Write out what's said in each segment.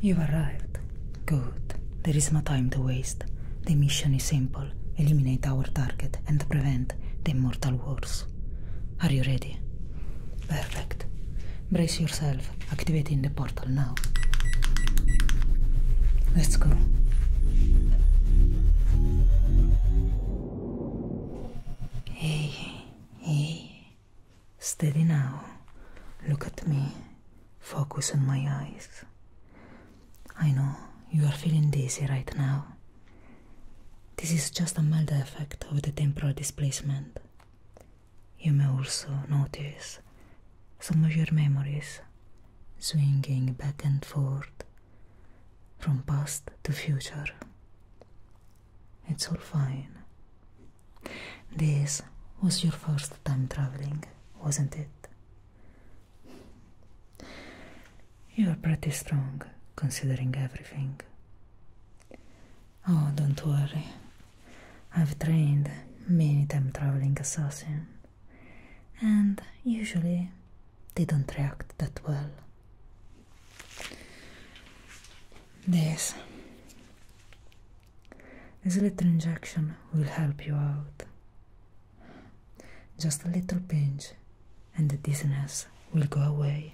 You've arrived. Good. There is no time to waste. The mission is simple eliminate our target and prevent the immortal wars. Are you ready? Perfect. Brace yourself, activating the portal now. Let's go. Hey. Hey, steady now. Look at me. Focus on my eyes. I know you are feeling dizzy right now. This is just a mild effect of the temporal displacement. You may also notice some of your memories swinging back and forth from past to future. It's all fine. This was your first time traveling, wasn't it? You're pretty strong, considering everything. Oh, don't worry. I've trained many time traveling assassins, and usually they don't react that well. This this little injection will help you out. Just a little pinch, and the dizziness will go away.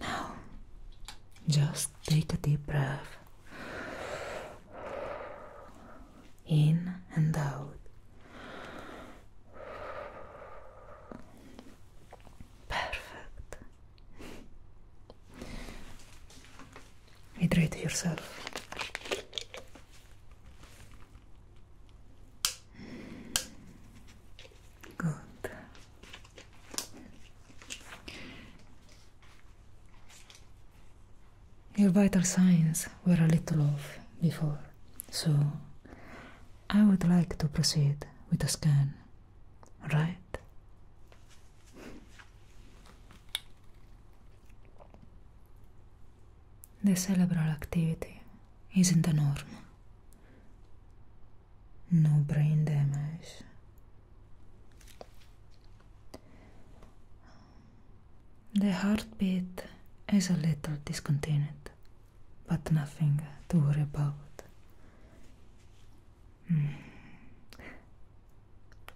Now, just take a deep breath in and out. Perfect. Hydrate yourself. Good. Your vital signs were a little off before, so I would like to proceed with a scan, right? The cerebral activity isn't the norm. No brain damage, the heartbeat is a little discontinued, but nothing to worry about. Hmm.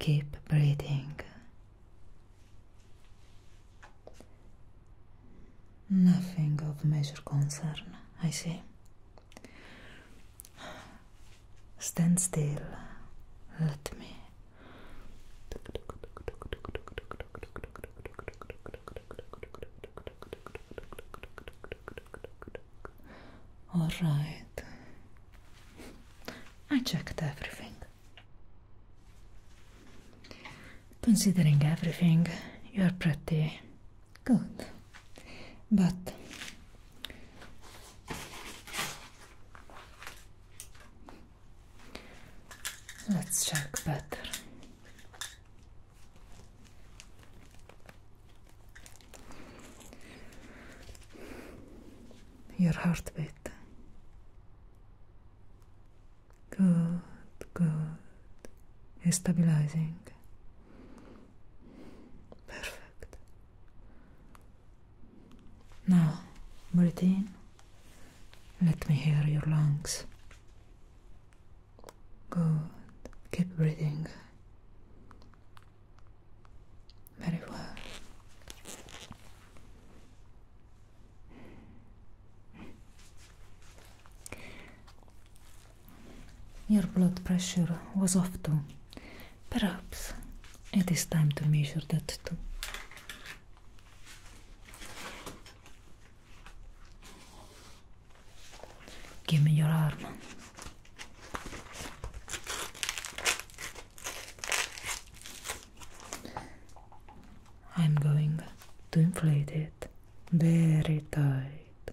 Keep breathing. Nothing of major concern, I see. Stand still. Let me. All right. I checked everything. Considering everything, you're pretty Good. But let's check better. Your heartbeat. Good, good. Stabilizing. Perfect. Now, breathe Let me hear your lungs. Good. Keep breathing. Very well. Your blood pressure was off too. Perhaps it is time to measure that too. Give me your arm. I'm going to inflate it very tight.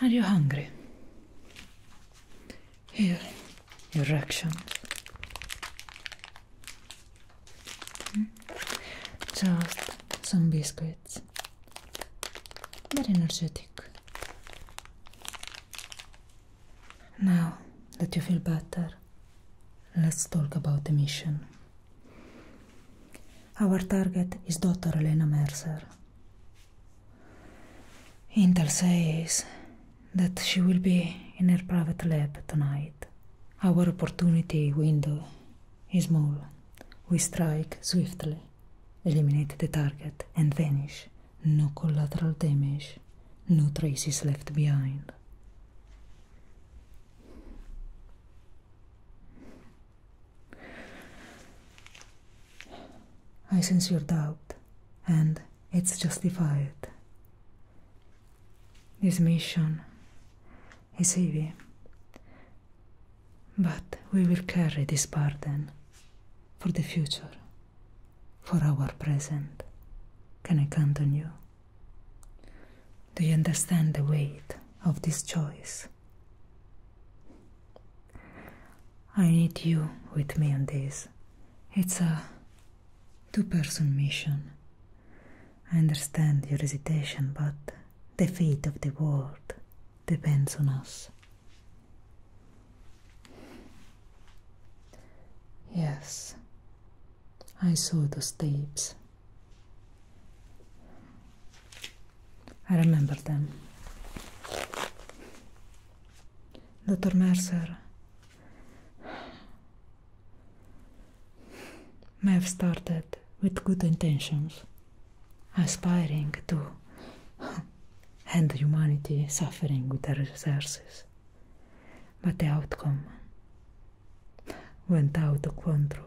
Are you hungry? Here, your ration. Hmm? Just some biscuits. Very energetic. Now that you feel better, let's talk about the mission. Our target is Dr. Elena Mercer. Intel says that she will be in her private lab tonight. Our opportunity window is small. We strike swiftly, eliminate the target, and vanish. No collateral damage, no traces left behind. I sense your doubt, and it's justified. This mission is heavy, but we will carry this burden for the future, for our present. Can I count on you? Do you understand the weight of this choice? I need you with me on this. It's a two person mission. I understand your hesitation, but the fate of the world depends on us. Yes, I saw those tapes. I remember them. Dr. Mercer, may have started with good intentions, aspiring to end humanity suffering with their resources. But the outcome went out of control.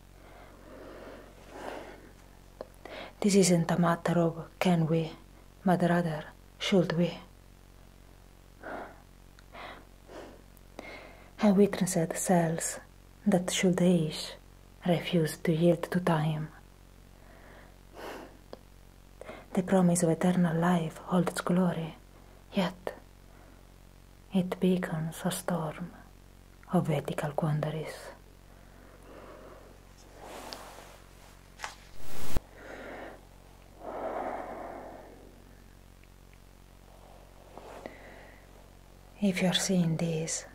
This isn't a matter of can we, but rather should we. Have witnessed cells that should age refuse to yield to time. The promise of eternal life holds glory, yet it beacons a storm. of ethical quandaries. If you're seeing this,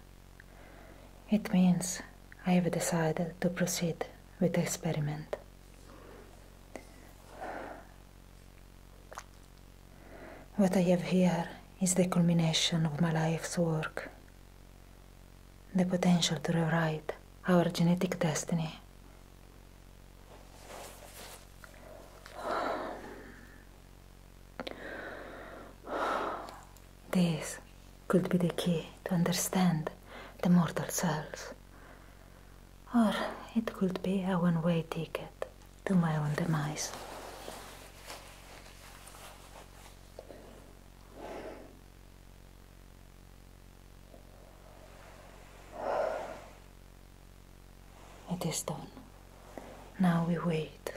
it means I have decided to proceed with the experiment. What I have here is the culmination of my life's work, the potential to rewrite our genetic destiny. This could be the key to understand the mortal cells, or it could be a one way ticket to my own demise. It is done. Now we wait.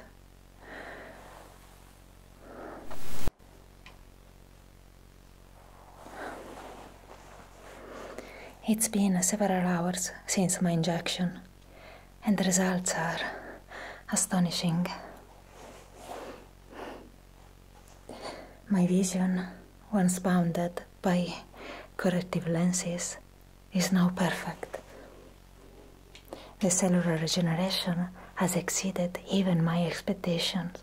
It's been several hours since my injection and the results are astonishing. My vision, once bounded by corrective lenses, is now perfect. The cellular regeneration has exceeded even my expectations.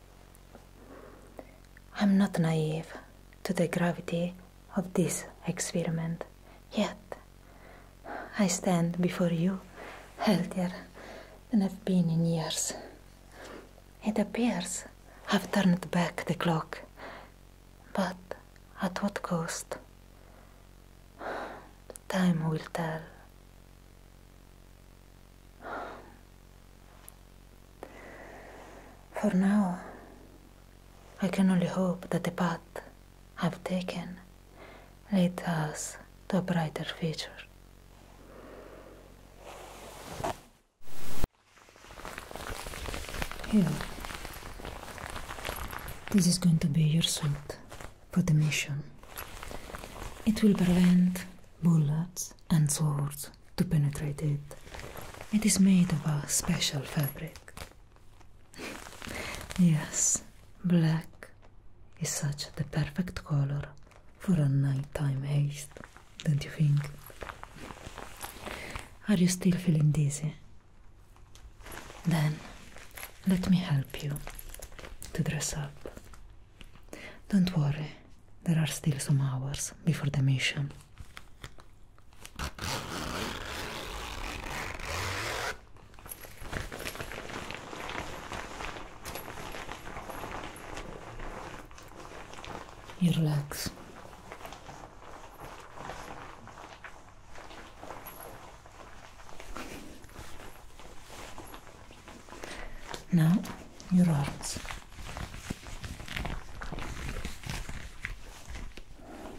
I'm not naive to the gravity of this experiment. Yet, I stand before you healthier than I've been in years. It appears I've turned back the clock, but at what cost? Time will tell. For now, I can only hope that the path I've taken leads us to a brighter future. Here. This is going to be your suit for the mission. It will prevent bullets and swords to penetrate it. It is made of a special fabric yes, black is such the perfect color for a nighttime haste, don't you think? Are you still feeling dizzy? Then let me help you to dress up. Don't worry, there are still some hours before the mission. You relax. Now, your arms.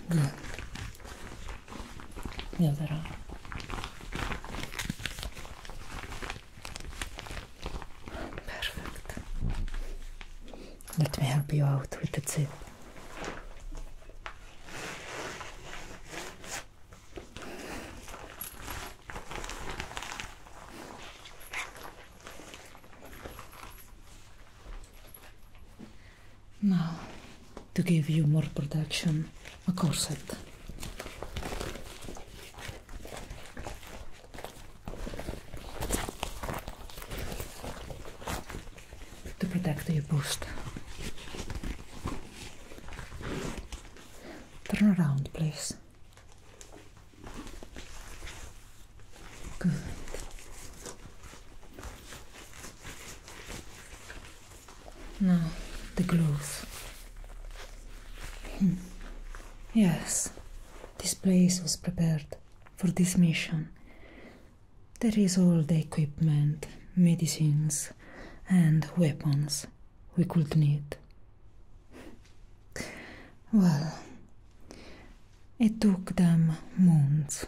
Good. Leave that Perfect. Let me help you out with the zip. Now, to give you more protection, a corset. To protect your bust. Turn around, please. Good. Now the gloves. Hmm. Yes, this place was prepared for this mission. There is all the equipment, medicines, and weapons we could need. Well, It took them months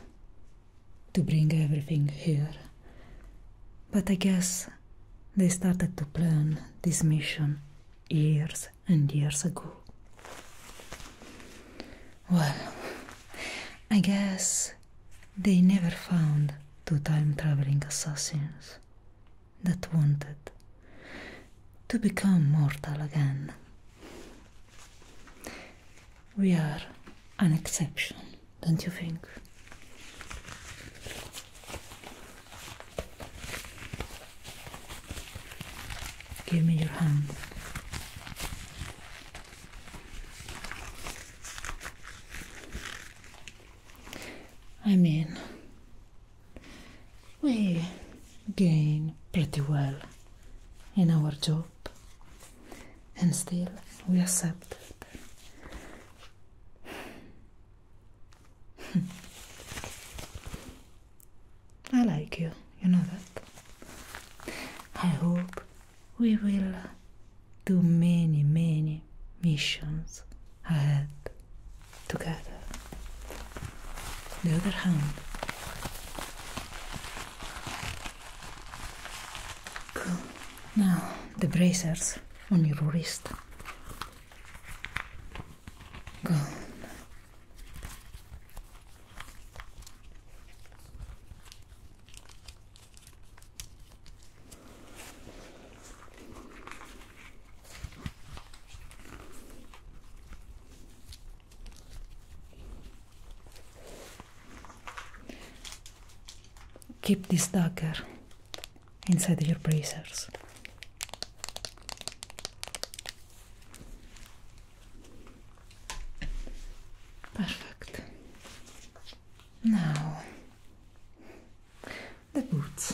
to bring everything here. But I guess they started to plan this mission years and years ago. Well, I guess they never found two time traveling assassins that wanted to become mortal again. We are an exception, don't you think? Give me your hand. I mean, we gain pretty well in our job and still we accept it. Hmm. I like you, you know that. I hope we will do many, many missions ahead together the other hand. Cool. Now the braces on your wrist. Good. Keep this dagger inside your bracers. Perfect. Now, the boots.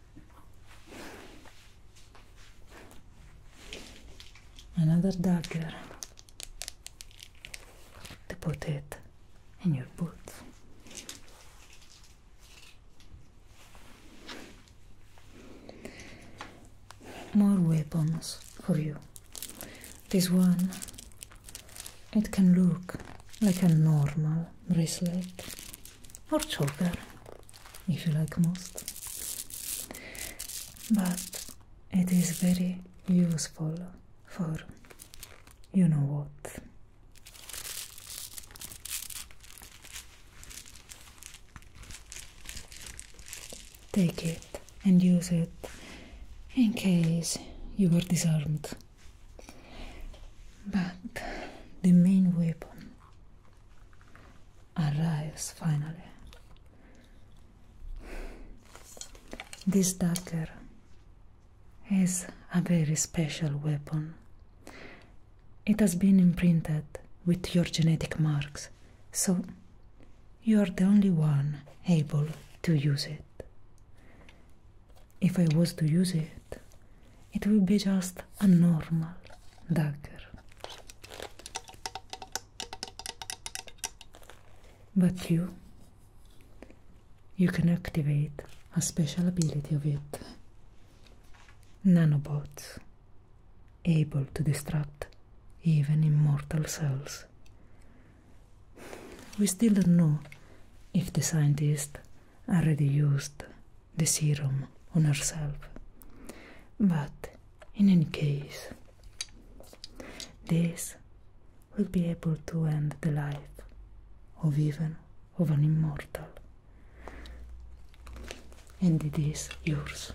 another dagger to put it in your boot. More weapons for you. This one, it can look like a normal bracelet, or chalker if you like most but it is very useful for you know what take it and use it in case you were disarmed but the main weapon arrives finally. This dagger is a very special weapon. It has been imprinted with your genetic marks, so you are the only one able to use it. If I was to use it, it will be just a normal dagger. But you, you can activate a special ability of it. Nanobots, able to destruct even immortal cells. We still don't know if the scientists already used the serum on herself. But in any case, this will be able to end the life of even of an immortal. And it is yours.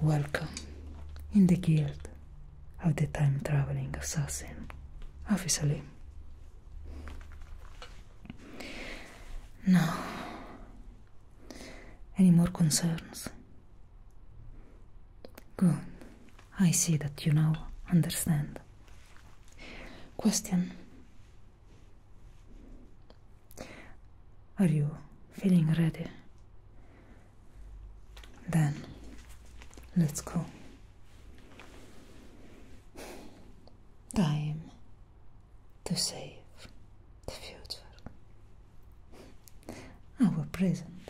Welcome in the guild of the time traveling assassin, officially. No. any more concerns? Good. I see that you now understand. Question Are you feeling ready then let's go. Time to save the future, our present.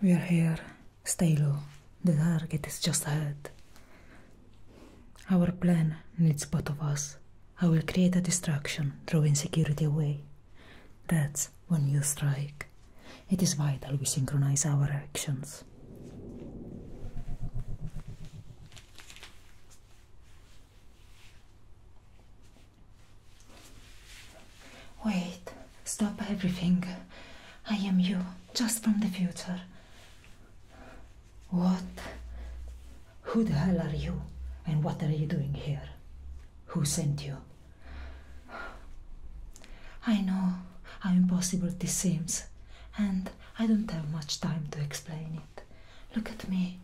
We are here, stay low. The target is just ahead. Our plan needs both of us. I will create a distraction, drawing security away. That's when you strike. It is vital we synchronize our actions. Wait, stop everything. I am you, just from the future. What? Who the hell are you? And what are you doing here? Who sent you? I know how impossible this seems, and I don't have much time to explain it. Look at me.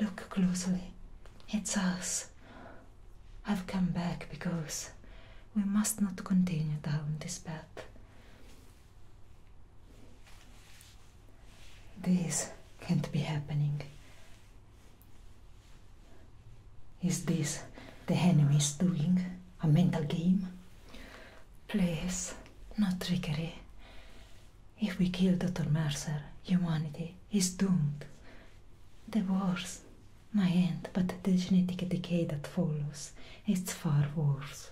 Look closely. It's us. I've come back because we must not continue down this path. This can't be happening. Is this the enemy's doing? A mental game? Please, not trickery. If we kill Dr. Mercer, humanity is doomed. The wars my end, but the genetic decay that follows is far worse.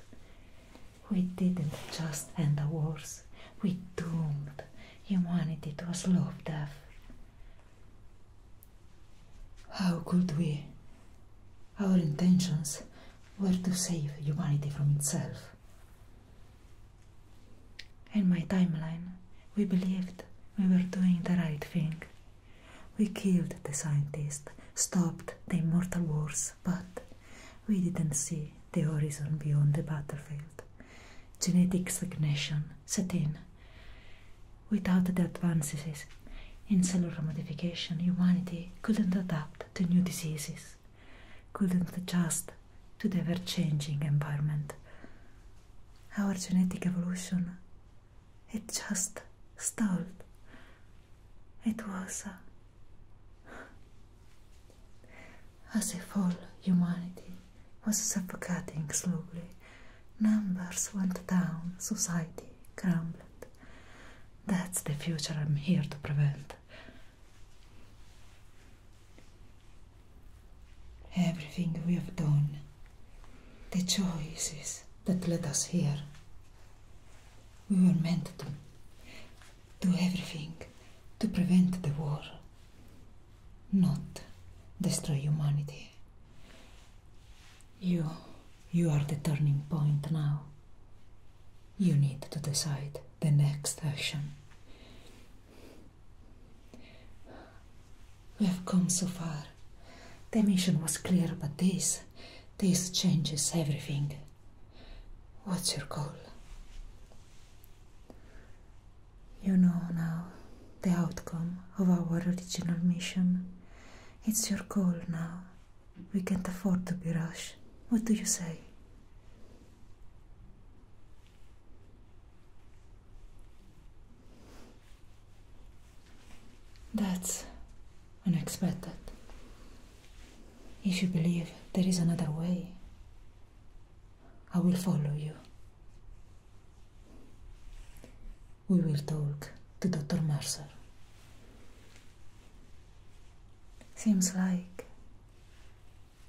We didn't just end the wars, we doomed humanity was loved off. How could we? Our intentions were to save humanity from itself. In my timeline, we believed we were doing the right thing. We killed the scientists, stopped the immortal wars, but we didn't see the horizon beyond the battlefield. Genetic stagnation set in. Without the advances in cellular modification, humanity couldn't adapt to new diseases, couldn't adjust to the ever changing environment. Our genetic evolution, it just stalled. It was. Uh, as if all humanity was suffocating slowly, numbers went down, society crumbled. That's the future I'm here to prevent. Everything we have done, the choices that led us here, we were meant to do everything to prevent the war, not destroy humanity. You, you are the turning point now. You need to decide the next action. We have come so far. The mission was clear, but this, this changes everything. What's your goal? You know now the outcome of our original mission. It's your call now. We can't afford to be rash. What do you say? That's unexpected. If you believe there is another way, I will follow you. We will talk to Dr. Mercer. Seems like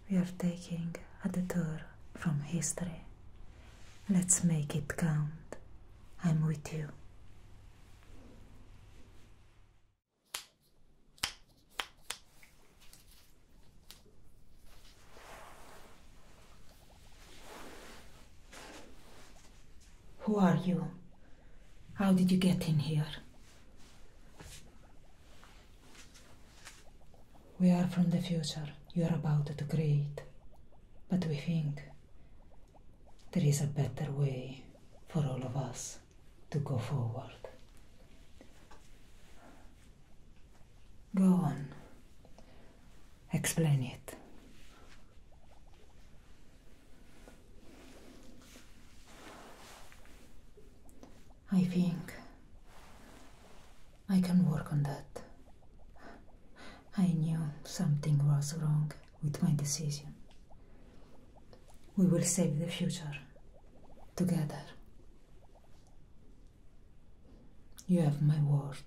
we are taking a detour from history. Let's make it count. I'm with you. Who are you? How did you get in here? We are from the future you are about to create, but we think there is a better way for all of us to go forward. Go on. Explain it. I think I can work on that. I knew something was wrong with my decision. We will save the future together. You have my word.